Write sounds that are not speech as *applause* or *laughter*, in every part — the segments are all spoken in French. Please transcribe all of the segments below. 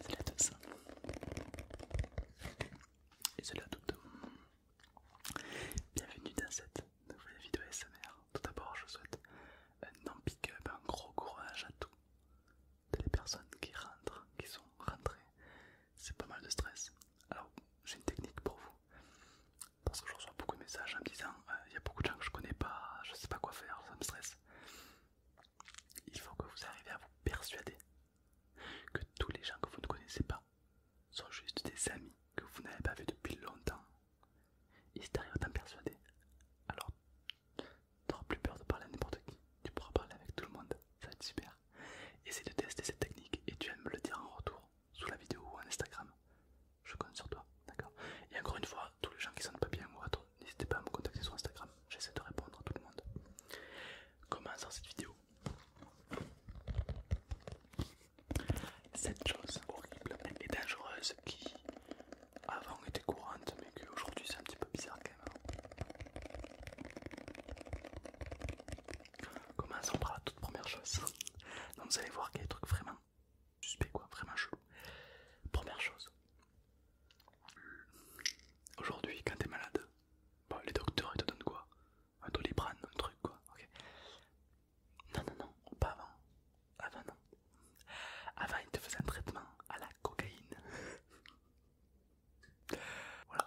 Salut à tous, Et c'est à toutes Bienvenue dans cette nouvelle vidéo SMR. Tout d'abord, je souhaite un non pick up, un gros courage à tous. les personnes qui rentrent, qui sont rentrées. C'est pas mal de stress. Alors, j'ai une technique pour vous parce que je reçois beaucoup de messages en me disant euh, il y a beaucoup de gens que je connais pas, je sais pas quoi faire, ça me stresse. Il faut que vous arriviez à vous persuader que tous les gens que vous ne connaissez pas sont juste des amis que vous n'avez pas vu depuis longtemps. Et si t'arrives à t'en persuader, alors t'auras plus peur de parler à n'importe qui, tu pourras parler avec tout le monde, ça va être super. Essaye de tester cette technique et tu vas me le dire en retour sous la vidéo ou en Instagram. Je compte sur toi, d'accord Et encore une fois, tous les gens qui sont pas bien ou autre, n'hésitez pas à me contacter sur Instagram. J'essaie de répondre à tout le monde. sort cette vidéo. Cette chose horrible et dangereuse qui avant était courante mais aujourd'hui c'est un petit peu bizarre quand même. Hein. Commençons par la toute première chose. Donc vous allez voir qu'il y a des trucs vraiment suspects, quoi, vraiment chelou. Première chose. Aujourd'hui, quand t'es malade, bah, les docteurs ils te donnent quoi Un doliprane, un truc quoi, ok Non, non, non, pas avant. Avant, non. Avant, ils te faisaient un traitement à la cocaïne. *laughs* voilà,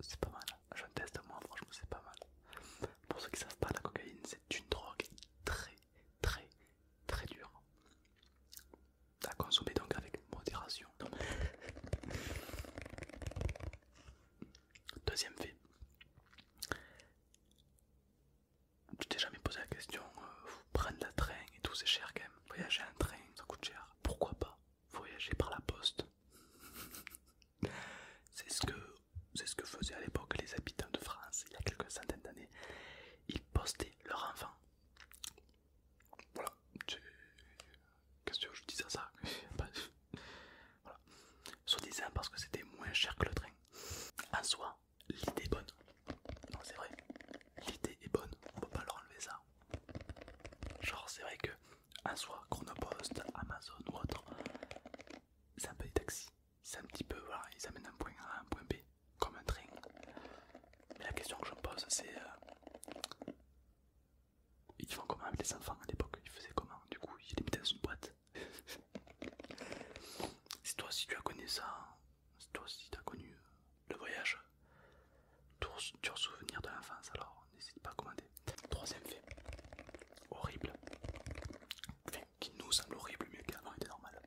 c'est pas mal. Je teste moi, franchement, c'est pas mal. Pour ceux qui savent pas, la cocaïne c'est une drogue très, très, très dure à consommer donc avec modération. *laughs* Deuxième fait, tu t'es jamais posé la question, euh, vous prendre la train et tout, c'est cher quand même. Voyager en train, ça coûte cher. Pourquoi pas voyager par la poste. *laughs* C'est ce, c'est ce que faisaient à l'époque les habitants de France il y a quelques centaines d'années. Ils postaient leur enfants. Voilà. Qu'est-ce que je dis à ça *laughs* Voilà. Soit disant parce que c'était moins cher que le train. En soi, l'idée est bonne. Non, c'est vrai. L'idée est bonne. On peut pas leur enlever ça. Genre, c'est vrai que en soi, Chronopost, Amazon ou autre, c'est un peu des taxis. C'est un petit peu, voilà, ils amènent un point A à un point B, comme un train. Mais la question que je me pose, c'est. Euh, ils font comment avec les enfants à l'époque Ils faisaient comment Du coup, ils les mettaient dans une boîte. *laughs* si toi si tu as connu ça, C'est toi si tu as connu euh, le voyage, dur souvenir de l'enfance, alors n'hésite pas à commander. Troisième fait, horrible, qui nous semble horrible, mieux qu'avant était normal.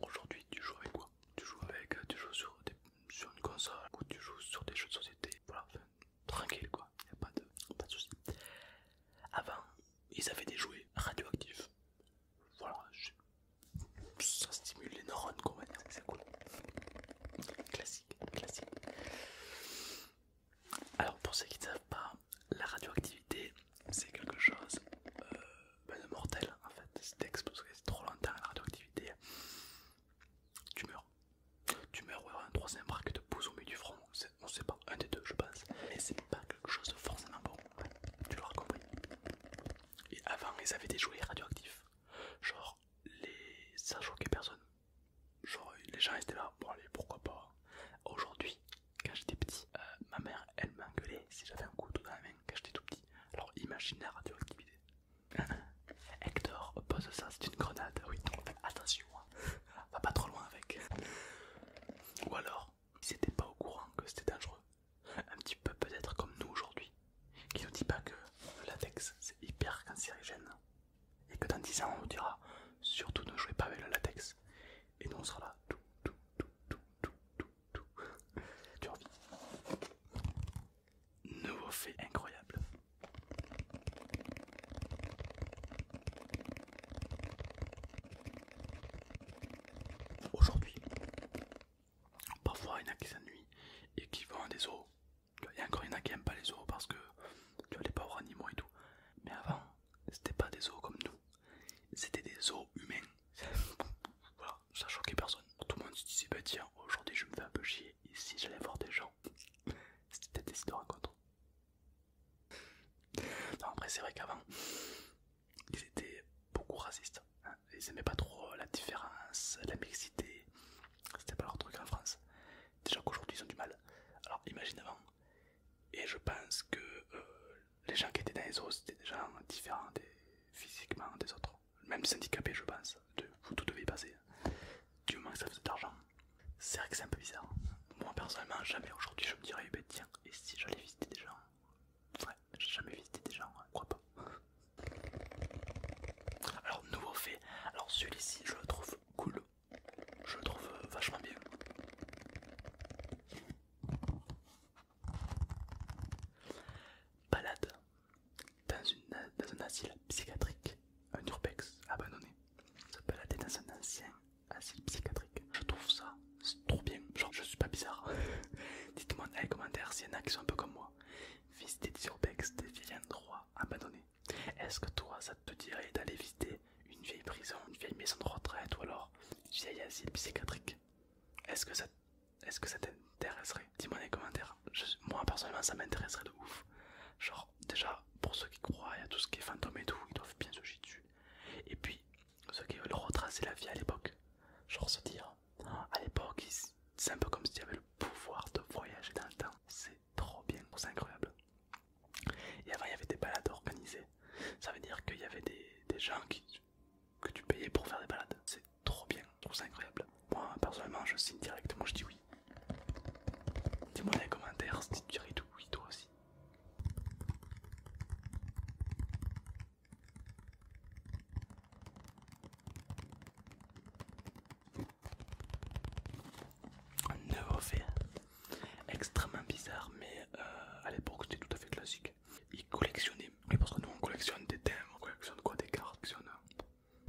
Aujourd'hui, tu joues avec quoi Tu joues avec, tu joues sur, des, une console, ou tu joues sur des jeux de société, voilà, tranquille quoi, y'a pas de, pas de soucis. Avant, ils avaient des jouets radioactifs. Voilà, ça stimule les neurones, qu'on c'est cool. Classique, classique. Alors, pour ceux qui ne savent pas, la radioactivité, c'est quelque chose euh, ben, de mortel en fait. que c'est trop longtemps à la radioactivité, tu meurs. Tu meurs, ouais, un troisième bras de te pousse au milieu du front, on sait pas, un des deux je pense, mais c'est pas quelque chose de forcément bon, tu l'auras compris. Et avant ils avaient des jouets radioactifs, genre les... ça choquait personne, genre les gens étaient là, bon allez pourquoi pas. Aujourd'hui, quand j'étais petit, euh, ma mère elle m'engueulait si j'avais un couteau dans la main quand j'étais tout petit, alors imagine la radioactivité. *laughs* Hector, pose ça, c'est une grenade, oui, attention hein. Va pas trop loin avec. Ou alors, ils pas au courant que c'était dangereux. Un petit peu peut-être comme nous aujourd'hui, qui nous dit pas que le latex c'est hyper cancérigène. Et que dans 10 ans on nous dira surtout ne jouez pas avec le latex. Et nous on sera là tout, tout, tout, tout, tout, tout, tout. Nouveau fait incroyable. Aujourd'hui, parfois il y en a qui s'ennuient et qui vont des os. Il y a encore il y en a qui n'aiment pas les os parce que tu pas les voir animaux et tout. Mais avant, c'était pas des os comme nous, c'était des eaux humains. *laughs* voilà, ça choquait personne. Tout le monde se disait bah tiens, aujourd'hui je me fais un peu chier. Et si j'allais voir des gens, *laughs* c'était des histoires à après, c'est vrai qu'avant, ils étaient beaucoup racistes. Hein. Ils n'aimaient pas trop la différence, la mixité. C'était pas leur truc en France. Déjà qu'aujourd'hui, ils ont du mal. Alors, imagine avant. Et je pense que euh, les gens qui étaient dans les os c'était des gens différents physiquement des autres. Même des handicapés, je pense. De, vous tout devez passer du moins que ça de l'argent. C'est vrai que c'est un peu bizarre. Hein. Moi personnellement, jamais aujourd'hui je me dirais, eh ben, et si j'allais visiter des gens Ouais, j'ai jamais visité des gens, hein, crois pas. Alors, nouveau fait, alors celui-ci je le trouve cool, je le trouve euh, vachement bien. Balade dans, une, dans un asile psychiatrique un urbex abandonné. Ça peut la dans un ancien psychiatrique. Je trouve ça trop bien. Genre, je suis pas bizarre. *laughs* Dites-moi dans les commentaires s'il y en a qui sont un peu comme moi. Visiter des urbex, des vieilles endroits abandonnés. Est-ce que toi, ça te dirait d'aller visiter une vieille prison, une vieille maison de retraite ou alors une vieille asile psychiatrique Est-ce que ça est-ce que ça t'intéresserait Dis-moi dans les commentaires. moi personnellement ça m'intéresserait de ouf. Genre déjà, pour ceux qui croient à tout ce qui est fantôme et tout, ils doivent bien se jeter dessus. Et puis, ceux qui veulent retracer la vie à l'époque, genre se dire, à l'époque, c'est un peu comme s'il y avait le pouvoir de voyager dans le temps. C'est trop bien, c'est incroyable. Et avant, il y avait des balades organisées. Ça veut dire qu'il y avait des, gens qui, que tu payais pour faire des balades. C'est trop bien, c'est incroyable moi personnellement je signe directement, je dis oui. Dis-moi dans les commentaires si tu dirais tout oui toi aussi. Un nouveau fait extrêmement bizarre, mais euh, à l'époque c'était tout à fait classique. Il collectionnaient, Mais parce que nous on collectionne des thèmes, on collectionne quoi des cartes,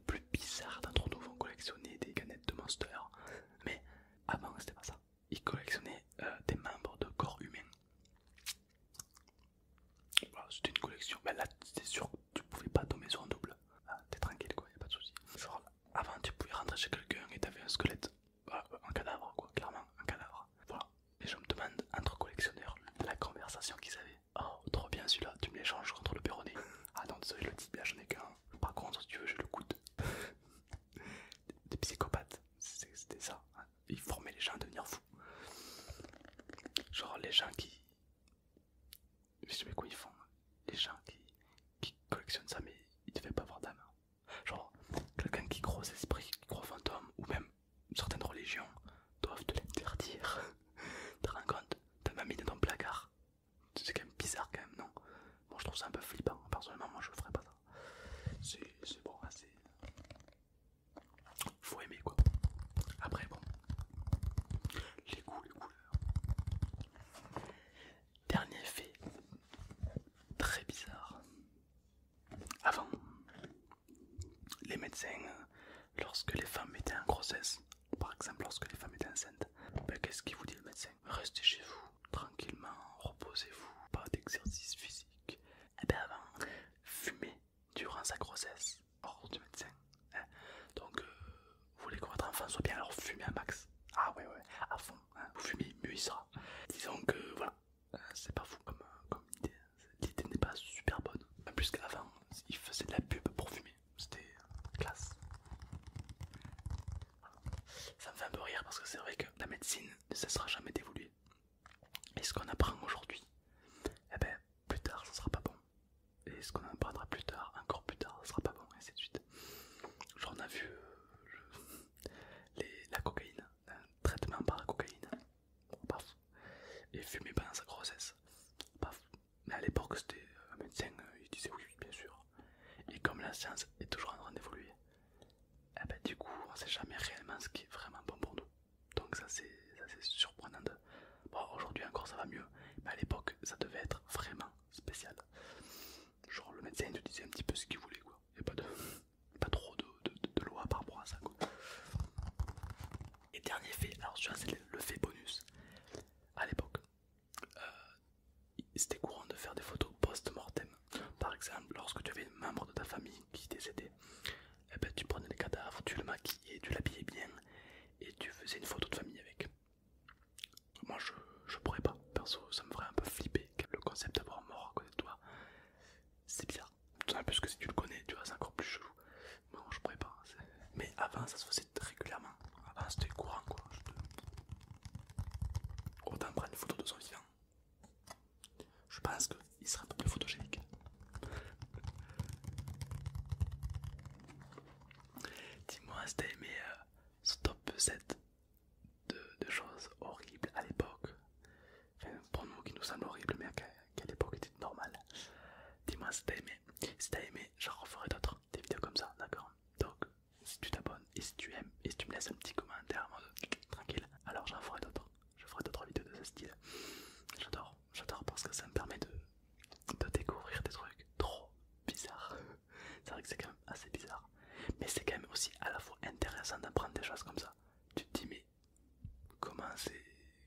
plus bizarre d'entre nous vont collectionner des canettes de monstres Mais avant, c'était pas ça. Ils collectionnaient euh, des membres de corps humains. Voilà, c'était une collection. mais ben là, c'est sûr, tu pouvais pas tomber sur un double. Ah, t'es tranquille, quoi, y a pas de soucis. avant, tu pouvais rentrer chez quelqu'un et t'avais un squelette. Euh, un cadavre, quoi, clairement, un cadavre. Voilà. Et je me demande, entre collectionneurs, la conversation qu'ils avaient. Oh, trop bien celui-là, tu me l'échanges contre le péroné. *laughs* Ah non, désolé, le dis bien j'en ai qu'un. Par contre, tu veux, je le coûte. *laughs* Des psychopathes, c'était ça. Hein. Ils formaient les gens à devenir fous. Genre les gens qui. Je sais pas quoi ils font. Hein. Les gens qui, qui collectionnent ça, mais ils devaient pas avoir d'âme. Hein. Genre, quelqu'un qui croit esprit, esprits, qui ou même certaines religions doivent te l'interdire. *laughs* Te T'as ma mis dans ton placard. C'est quand même bizarre, quand même, non Bon, je trouve ça un peu flippant. Hein. Personnellement, moi je ferais pas ça. C'est bon, assez... Faut aimer quoi. Après, bon. Les les couleurs. Dernier fait très bizarre. Avant, les médecins, lorsque les femmes étaient en grossesse, par exemple lorsque les femmes étaient enceintes, ben, qu'est-ce qu'il vous dit le médecin Restez chez vous, tranquillement, reposez-vous, pas d'exercice physique. Et eh bien avant, fumez durant sa grossesse, hors du médecin. Hein. Donc, euh, vous voulez que votre enfant soit bien, alors fumez un max. Ah ouais, ouais, à fond. Hein. vous fumez, mieux il sera. Disons que, voilà, euh, c'est pas fou comme, comme idée l'idée n'est pas super bonne. En plus qu'avant, ils faisaient de la pub pour fumer, c'était classe. Ça me fait un peu rire parce que c'est vrai que la médecine ne sera jamais d'évoluer. Et ce qu'on apprend aujourd'hui, eh ben, plus tard ça sera pas bon. Et ce qu'on apprendra plus tard, encore plus tard, ça sera pas bon, et ainsi de suite. Genre on a vu euh, *laughs* la cocaïne, un traitement par la cocaïne et fumait pendant sa grossesse, Mais à l'époque, c'était un médecin, euh, il disait oui, bien sûr. Et comme la science est toujours en train d'évoluer, eh ben, du coup, on sait jamais réellement ce qui est vraiment bon pour nous. Donc, ça, c'est surprenant. aujourd'hui encore, ça va mieux, mais à l'époque, ça devait être vraiment spécial. Genre, le médecin, il te disait un petit peu ce qu'il voulait, quoi. Il pas de. *laughs* Pas trop de, de, loi par rapport à ça. Quoi. Et dernier fait, alors tu c'est le fait bonus. À l'époque, euh, c'était courant de faire des photos post-mortem. Par exemple, lorsque tu avais un membre de ta famille qui décédait, eh ben, tu prenais le cadavre, tu le maquillais, tu l'habillais bien et tu faisais une photo de famille avec. Moi je, je pourrais pas, perso ça me ferait un peu flipper. Le concept d'avoir mort à côté de toi, c'est bizarre en plus que si tu le connais, tu vois, c'est encore plus chelou. bon je pourrais pas. Hein, mais avant, ça se faisait régulièrement. Avant, c'était courant quoi. Je Autant prendre une photo de son vivant. Je pense qu'il sera un peu plus photogénique. *laughs* Dis-moi si t'as aimé ce top 7 de choses horribles à l'époque. Enfin, pour nous qui nous semble horrible, mais à qu époque était normal. Dis-moi si t'as aimé. Si t'as aimé, j'en referai d'autres, des vidéos comme ça, d'accord Donc, si tu t'abonnes et si tu aimes, et si tu me laisses un petit commentaire tranquille, alors j'en ferai d'autres. Je ferai d'autres vidéos de ce style. J'adore, j'adore parce que ça me permet de, de découvrir des trucs trop bizarres. c'est vrai que c'est quand même assez bizarre. Mais c'est quand même aussi à la fois intéressant d'apprendre des choses comme ça. Tu te dis, mais comment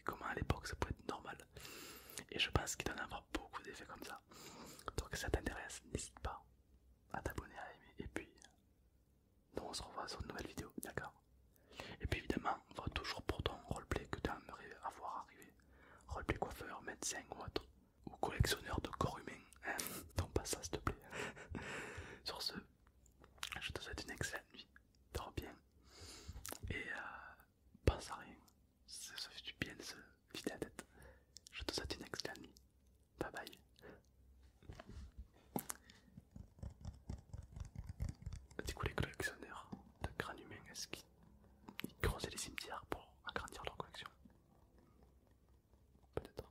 comment à l'époque ça pouvait être normal et je pense qu'il doit en avoir beaucoup d'effets comme ça donc si ça t'intéresse n'hésite pas à t'abonner à aimer et puis donc on se revoit sur une nouvelle vidéo d'accord et puis évidemment on va toujours pour ton roleplay que tu aimerais avoir arrivé roleplay coiffeur médecin ou autre ou collectionneur de corps humain hein donc pas ça s'il te plaît *laughs* sur ce je te souhaite une excellente nuit. Dors bien. Et euh, passe à rien. Ça fait du bien de se vider la tête. Je te souhaite une excellente nuit. Bye bye. Du coup, les collectionneurs de grands humains, est-ce qu'ils creusaient les cimetières pour agrandir leur collection Peut-être.